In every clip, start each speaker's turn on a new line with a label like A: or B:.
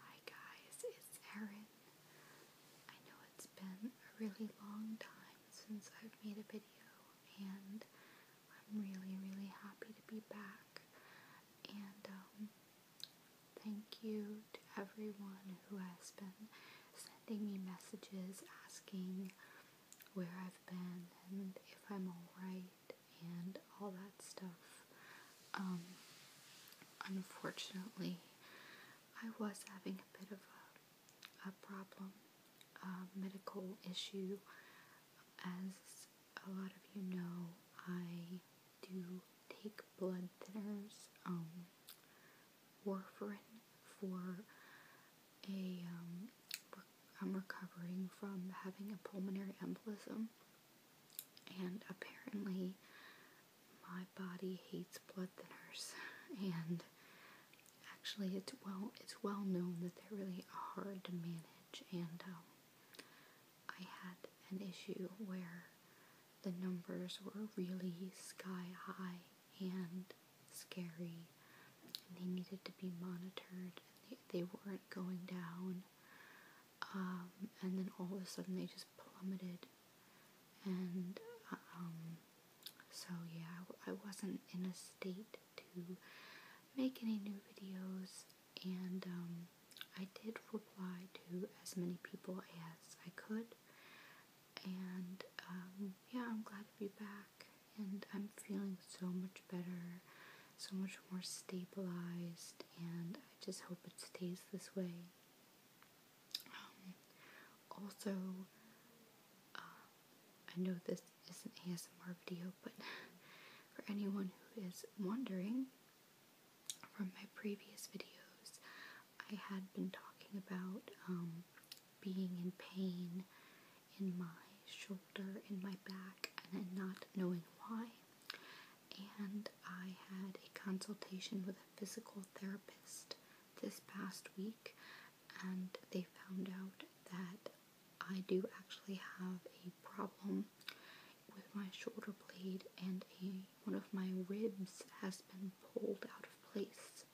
A: Hi guys, it's Erin. I know it's been a really long time since I've made a video and I'm really really happy to be back and um, thank you to everyone who has been sending me messages asking where I've been and if I'm alright and all that stuff. Um, unfortunately, I was having a bit of a, a problem, a medical issue. As a lot of you know, I do take blood thinners, um, warfarin for a, um, I'm recovering from having a pulmonary embolism. And apparently, my body hates blood thinners, and actually, it's well it's well known that they're really hard to manage. And um, I had an issue where the numbers were really sky high and scary, and they needed to be monitored. And they weren't going down. Um, and then all of a sudden they just plummeted, and um, so yeah, I, wasn't in a state to make any new videos, and um, I did reply to as many people as I could, and yeah, I'm glad to be back, and I'm feeling so much better so much more stabilized, and I just hope it stays this way. Um, also, uh, I know this is an ASMR video, but for anyone who is wondering, from my previous videos, I had been talking about um, being in pain in my shoulder in my back, and not knowing why. And I had a consultation with a physical therapist this past week, and they found out that I do actually have a problem with my shoulder blade, and a, one of my ribs has been pulled out of place.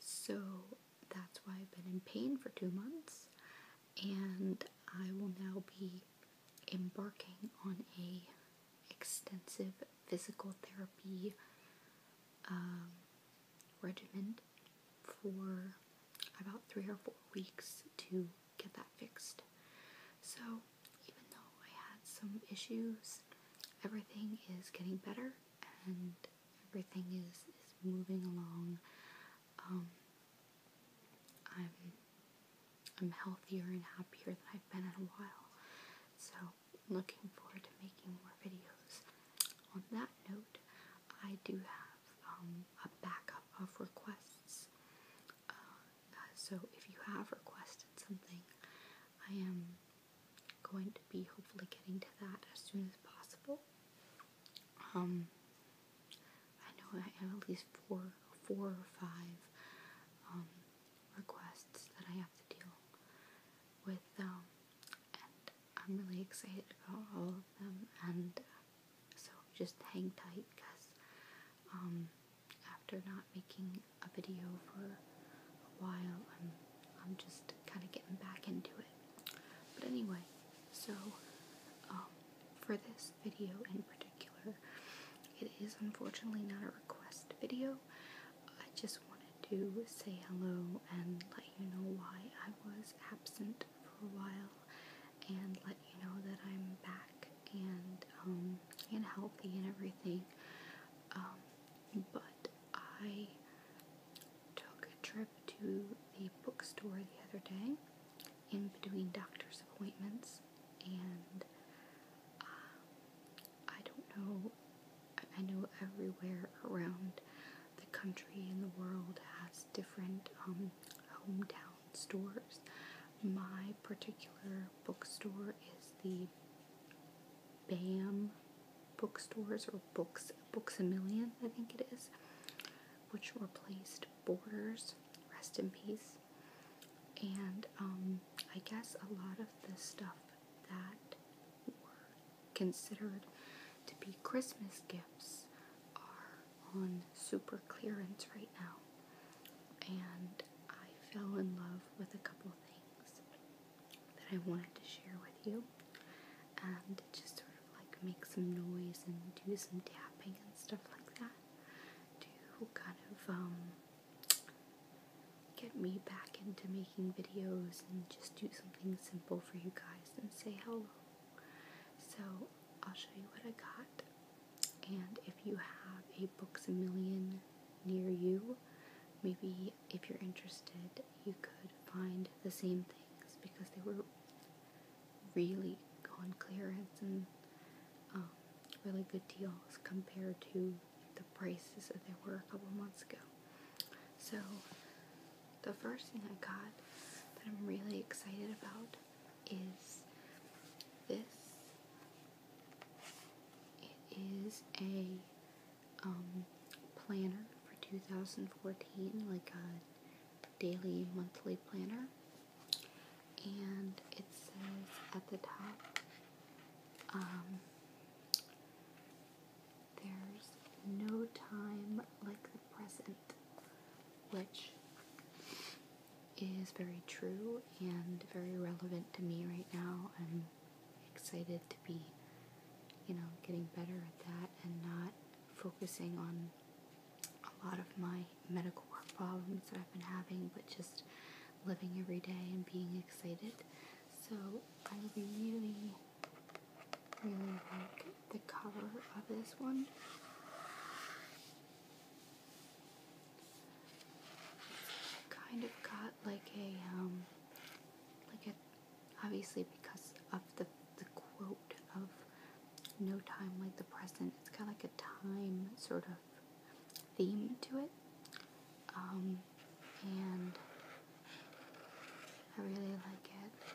A: So that's why I've been in pain for two months and I will now be embarking on a extensive physical therapy um, regimen for about three or four weeks to get that fixed. So even though I had some issues, everything is getting better and everything is, is moving along um, I'm I'm healthier and happier than I've been in a while. So looking forward to making more videos. On that note, I do have um, a backup of requests. Uh, so if you have requested something, I am going to be hopefully getting to that as soon as possible. Um, I know I have at least four, four or five um, requests that I have to deal with, um, and I'm really excited about all of them. And so just hang tight, because um, after not making a video for a while, I'm I'm just kind of getting back into it. But anyway, so, um, for this video in particular, it is unfortunately not a request video. I just wanted to say hello and let you know why I was absent for a while and let you know that I'm back and, um, and healthy and everything. Um, but I took a trip to the bookstore the other day in between doctor's appointments, and uh, I don't know, I know everywhere around the country and the world has different um, hometown stores. My particular bookstore is the BAM bookstores or books, Books a Million, I think it is which replaced Borders, rest in peace. And um, I guess a lot of the stuff that were considered to be Christmas gifts are on super clearance right now. And I fell in love with a couple things that I wanted to share with you and just sort of like make some noise and do some tapping and stuff like that to kind of um, get me back into making videos and just do something simple for you guys and say hello. So I'll show you what I got. And if you have a Books a Million near you, maybe if you're interested, you could find the same things because they were really on clearance and um, really good deals compared to the prices that they were a couple months ago. So, the first thing I got that I'm really excited about is this. It is a um, planner for 2014, like a daily, monthly planner. And it says at the top, um, there's no time like the present, which is very true and very relevant to me right now. I'm excited to be you know, getting better at that and not focusing on a lot of my medical work problems that I've been having, but just living every day and being excited. So I really, really like the cover of this one. Kind of got like a um, like a obviously because of the the quote of no time like the present. It's kind of like a time sort of theme to it. Um, and I really like it.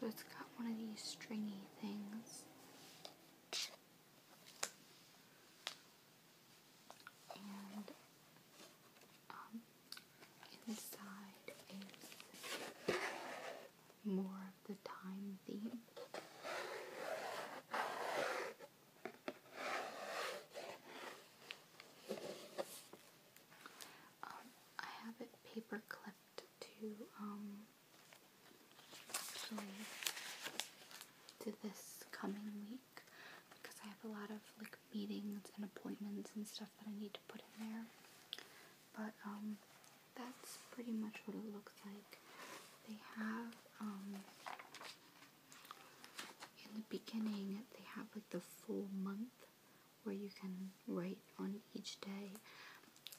A: So it's got one of these stringy things. And um, Inside is more of the time theme. Um, I have it paper clipped to um, actually to this coming week because I have a lot of like meetings and appointments and stuff that I need to put in there. But um, that's pretty much what it looks like. They have um, in the beginning they have like the full month where you can write on each day,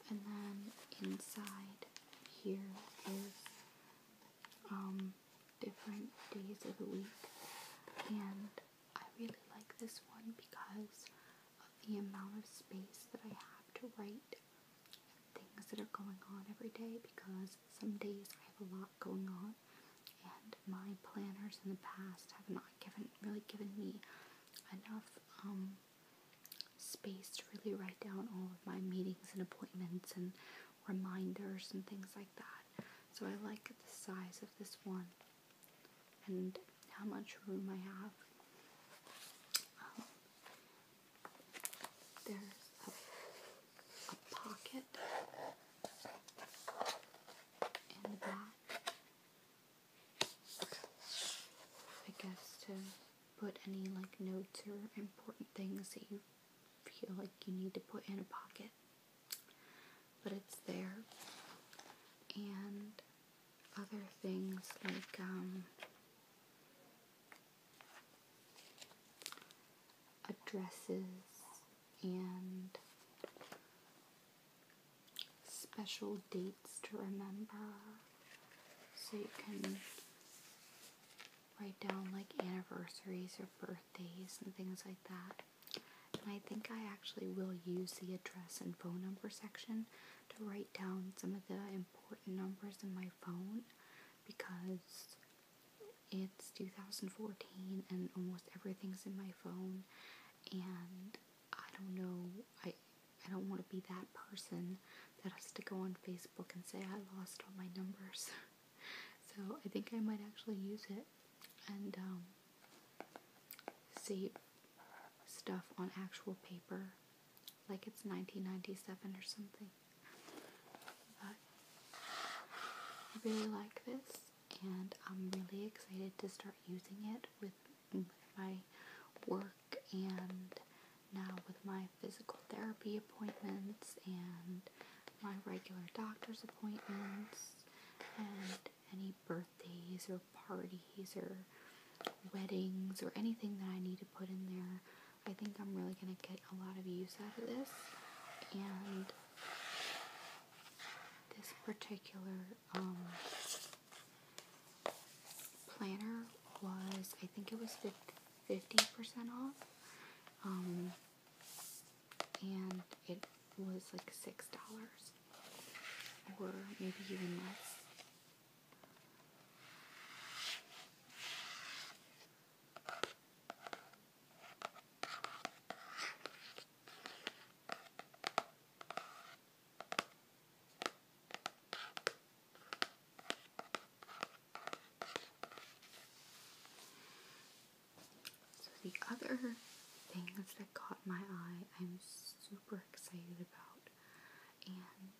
A: and then inside here is um, different days of the week and I really like this one because of the amount of space that I have to write things that are going on every day because some days I have a lot going on and my planners in the past have not given really given me enough um, space to really write down all of my meetings and appointments and reminders and things like that. So I like the size of this one and how much room I have. Um, there's a, a pocket in the back. I guess to put any like notes or important things that you feel like you need to put in a pocket but it's there. And other things like um, addresses and special dates to remember. So you can write down like anniversaries or birthdays and things like that. And I think I actually will use the address and phone number section to write down some of the important numbers in my phone because it's 2014 and almost everything's in my phone and I don't know I I don't want to be that person that has to go on Facebook and say I lost all my numbers. so I think I might actually use it and um, save stuff on actual paper like it's 1997 or something. But I really like this and I'm really excited to start using it with my work and now with my physical therapy appointments and my regular doctor's appointments and any birthdays or parties or weddings or anything that I need to put in there. I think I'm really going to get a lot of use out of this. And this particular um, planner was, I think it was 50% off. Um, and it was like six dollars or maybe even less. So the other things that caught my eye, I'm super excited about, and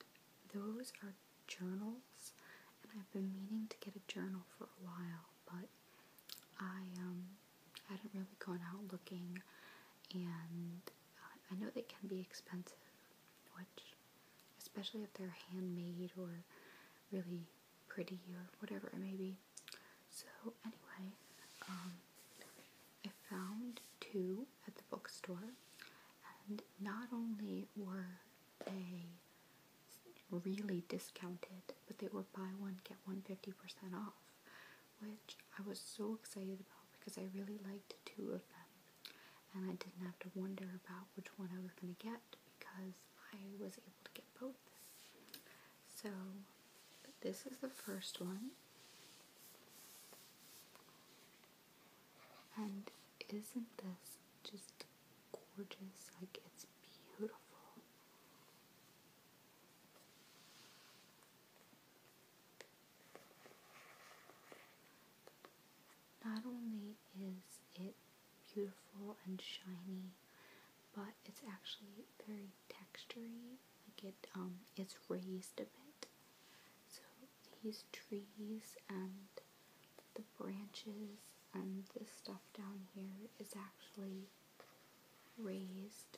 A: those are journals. And I've been meaning to get a journal for a while, but I um hadn't really gone out looking, and uh, I know they can be expensive, which especially if they're handmade or really pretty or whatever it may be. So anyway, um, I found two at the bookstore, and not only were they really discounted, but they were buy one get one fifty percent off, which I was so excited about because I really liked two of them, and I didn't have to wonder about which one I was gonna get because I was able to get both. So this is the first one. And isn't this just gorgeous? Like it's beautiful. Not only is it beautiful and shiny, but it's actually very textury. Like it, um, it's raised a bit. So these trees and the branches and the stuff down here is actually raised.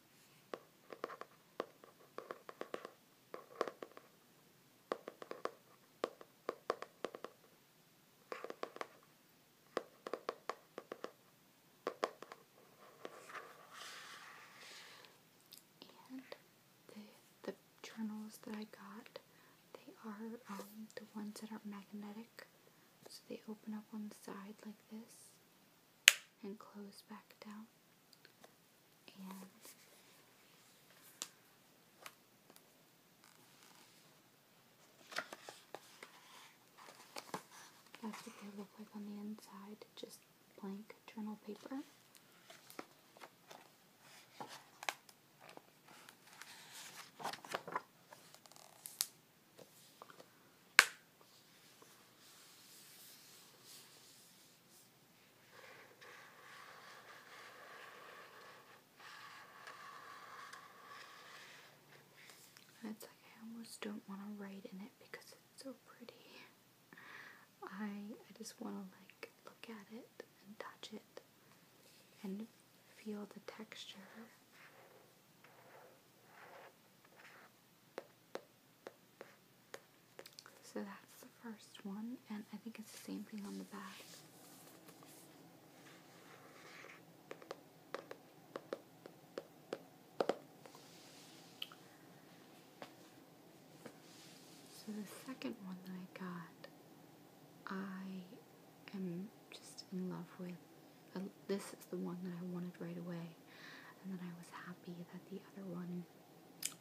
A: And the the journals that I got, they are um, the ones that are magnetic, so they open up on the side like this and close back down. that's what they look like on the inside, just blank journal paper. I almost don't want to write in it because it's so pretty. I I just want to like look at it and touch it and feel the texture. So that's the first one, and I think it's the same thing on the back. So the second one that I got, I am just in love with. Uh, this is the one that I wanted right away. And then I was happy that the other one,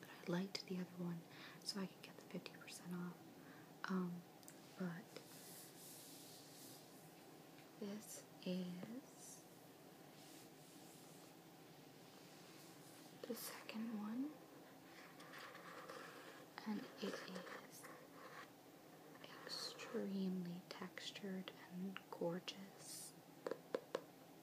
A: that I liked the other one, so I could get the 50% off. Um, but this is the second one, and it is extremely textured and gorgeous.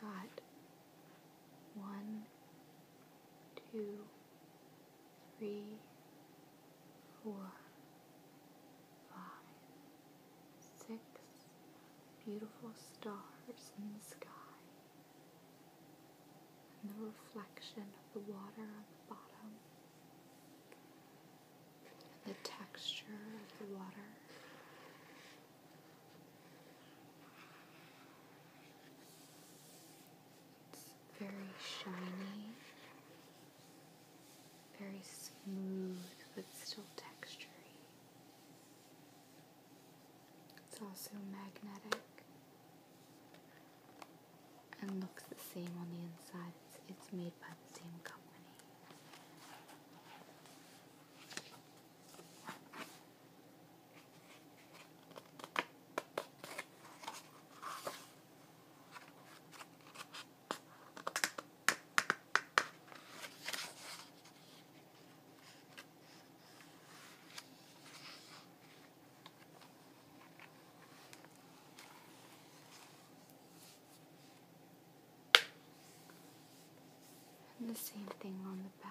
A: got one, two, three, four, five, six beautiful stars in the sky and the reflection of the water on the bottom and the texture of the water. It's very shiny, very smooth, but still textury. It's also magnetic and looks the same on the inside. It's, made by the same company. And the same thing on the back.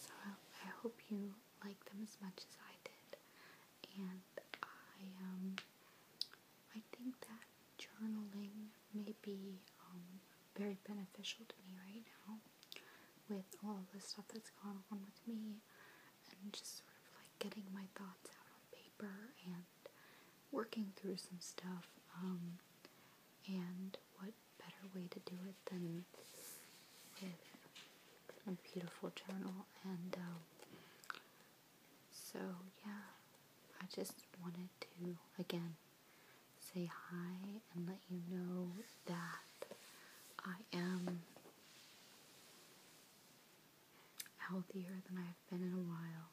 A: So I hope you like them as much as I did and I um I think that journaling may be um, very beneficial to me right now with all the stuff that's going on with me and just sort of like getting my thoughts out on paper and working through some stuff um, and what better way to do it than with a beautiful journal, and um, so yeah, I just wanted to again say hi and let you know that I am healthier than I've been in a while,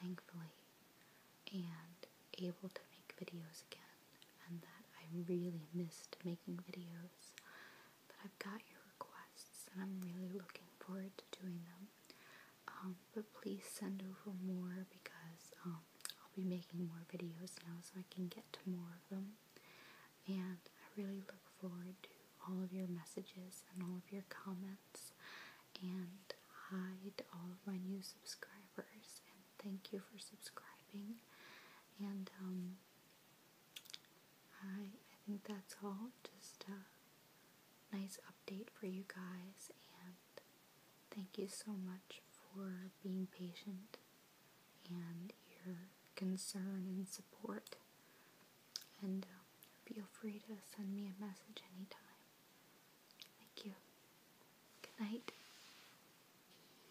A: thankfully, and able to make videos again and that I really missed making videos. But I've got your requests and I'm really looking forward to doing them. Um, but please send over more because um, I'll be making more videos now so I can get to more of them. And I really look forward to all of your messages and all of your comments. And hi to all of my new subscribers. And thank you for subscribing. And um, I, I think that's all. Just a nice update for you guys, and thank you so much for being patient and your concern and support. And um, feel free to send me a message anytime. Thank you. Good night.